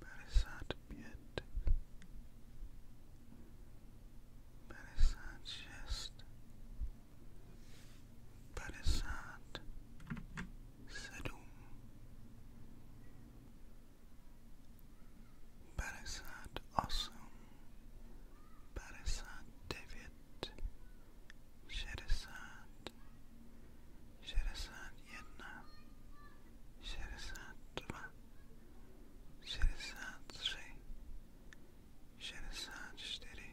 para such beauty, para such jest, para such sedum, para such awesome, para such David, Sheresat, siedemdziesiąt jedna, siedemdziesiąt dwa, siedemdziesiąt trzy, siedemdziesiąt cztery,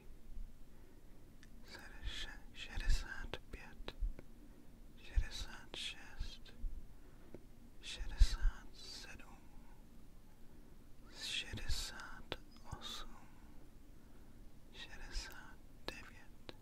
siedemdziesiąt pięć, siedemdziesiąt sześć, siedemdziesiąt siedem, siedemdziesiąt osiem, siedemdziesiąt dziewięć.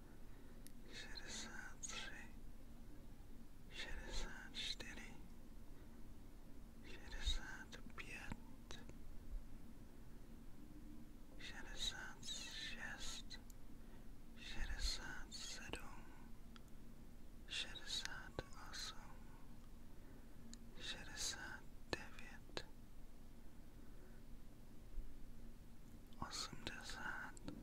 шестьдесят шестьдесят четыре, шестьдесят пять, шестьдесят шесть, шестьдесят семь, шестьдесят восемь, шестьдесят девять, восемьдесят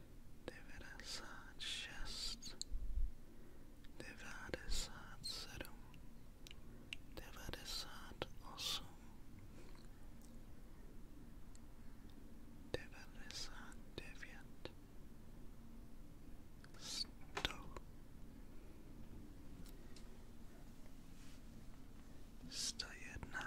devera sát chest, devera sát sedm, devera sát sto, sto jedna,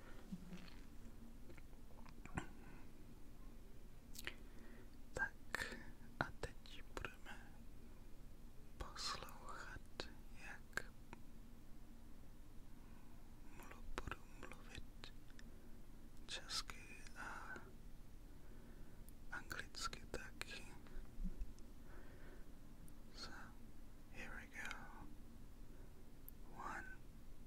Tak a teď budeme poslouchat, jak mluv, budu mluvit česky a anglicky taky. So here we go. One,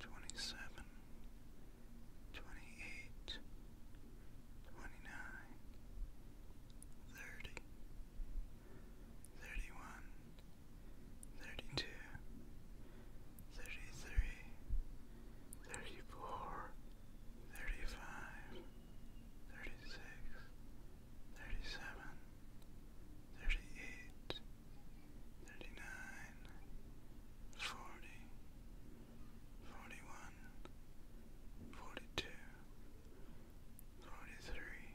twenty-seven, twenty-eight, twenty-nine, thirty, thirty-one, thirty-two, thirty-three, thirty-four, thirty-five, thirty-six, thirty-seven, thirty-eight thirty-nine, forty, forty-one, forty-two, forty-three,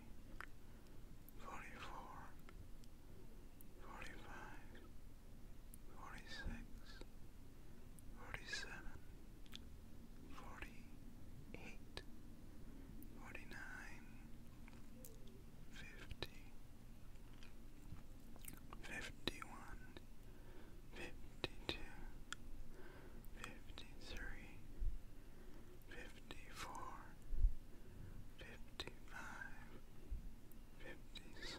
forty-four, forty-five, forty-six, forty-seven, forty-eight, forty-nine, Fifty. Fifty one. Fifty two. Fifty three. Fifty four. Fifty five. Fifty six.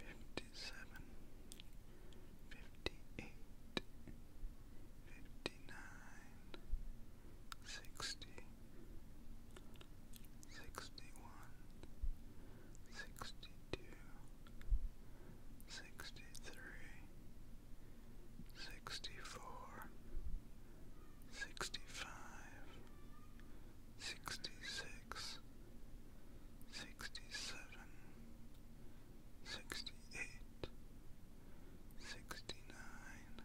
fifty, fifty-one, fifty-two, fifty-three, fifty-four, fifty-five, fifty-six, fifty-seven, fifty-eight, fifty-nine fifty-nine, sixty, sixty-one, sixty-two, sixty-three, sixty-four, sixty-five, sixty-six, sixty-seven, sixty-eight, sixty-nine,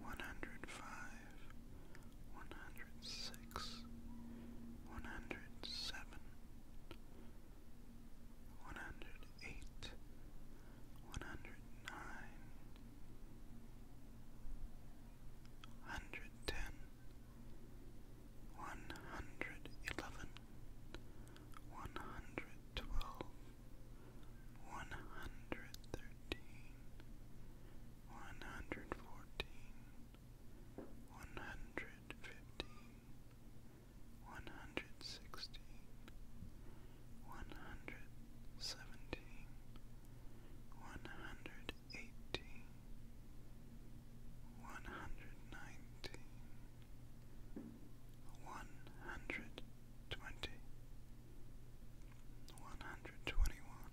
one hundred five, one hundred six, one hundred seven, one hundred eight, one hundred nine, hundred ten, one hundred eleven, one hundred twelve. 113 114 115 116 117 118 119 120 121 122 123 one hundred thirteen, one hundred fourteen, one hundred fifteen, one hundred sixteen, one hundred seventeen, one hundred eighteen, one hundred nineteen, one hundred twenty, one hundred twenty one.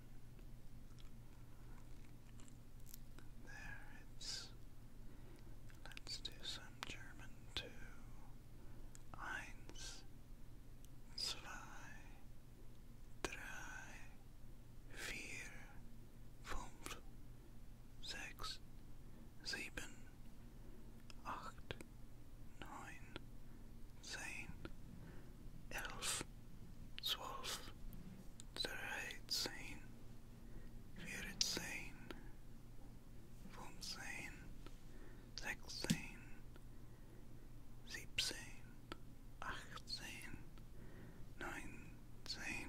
There it's let's do some German too. Eins, zwei, drei, vier, fünf, sechs, sieben, acht, neun, zehn, elf, zwölf, dreizehn, vierzehn, fünfzehn, sechzehn, siebzehn, achtzehn, neunzehn,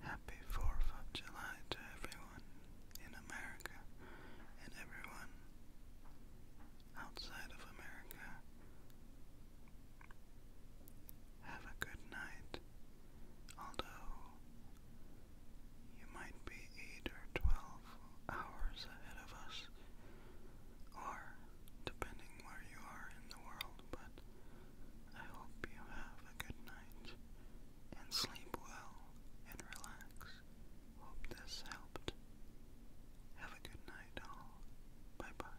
Happy 4th of July to everyone in America and everyone outside of America. Have a good night, although you might be 8 or 12 hours ahead of us, or depending where you are in the world, but I hope you have a good night and sleep well and relax. Hope this helped. Have a good night, all. Bye bye.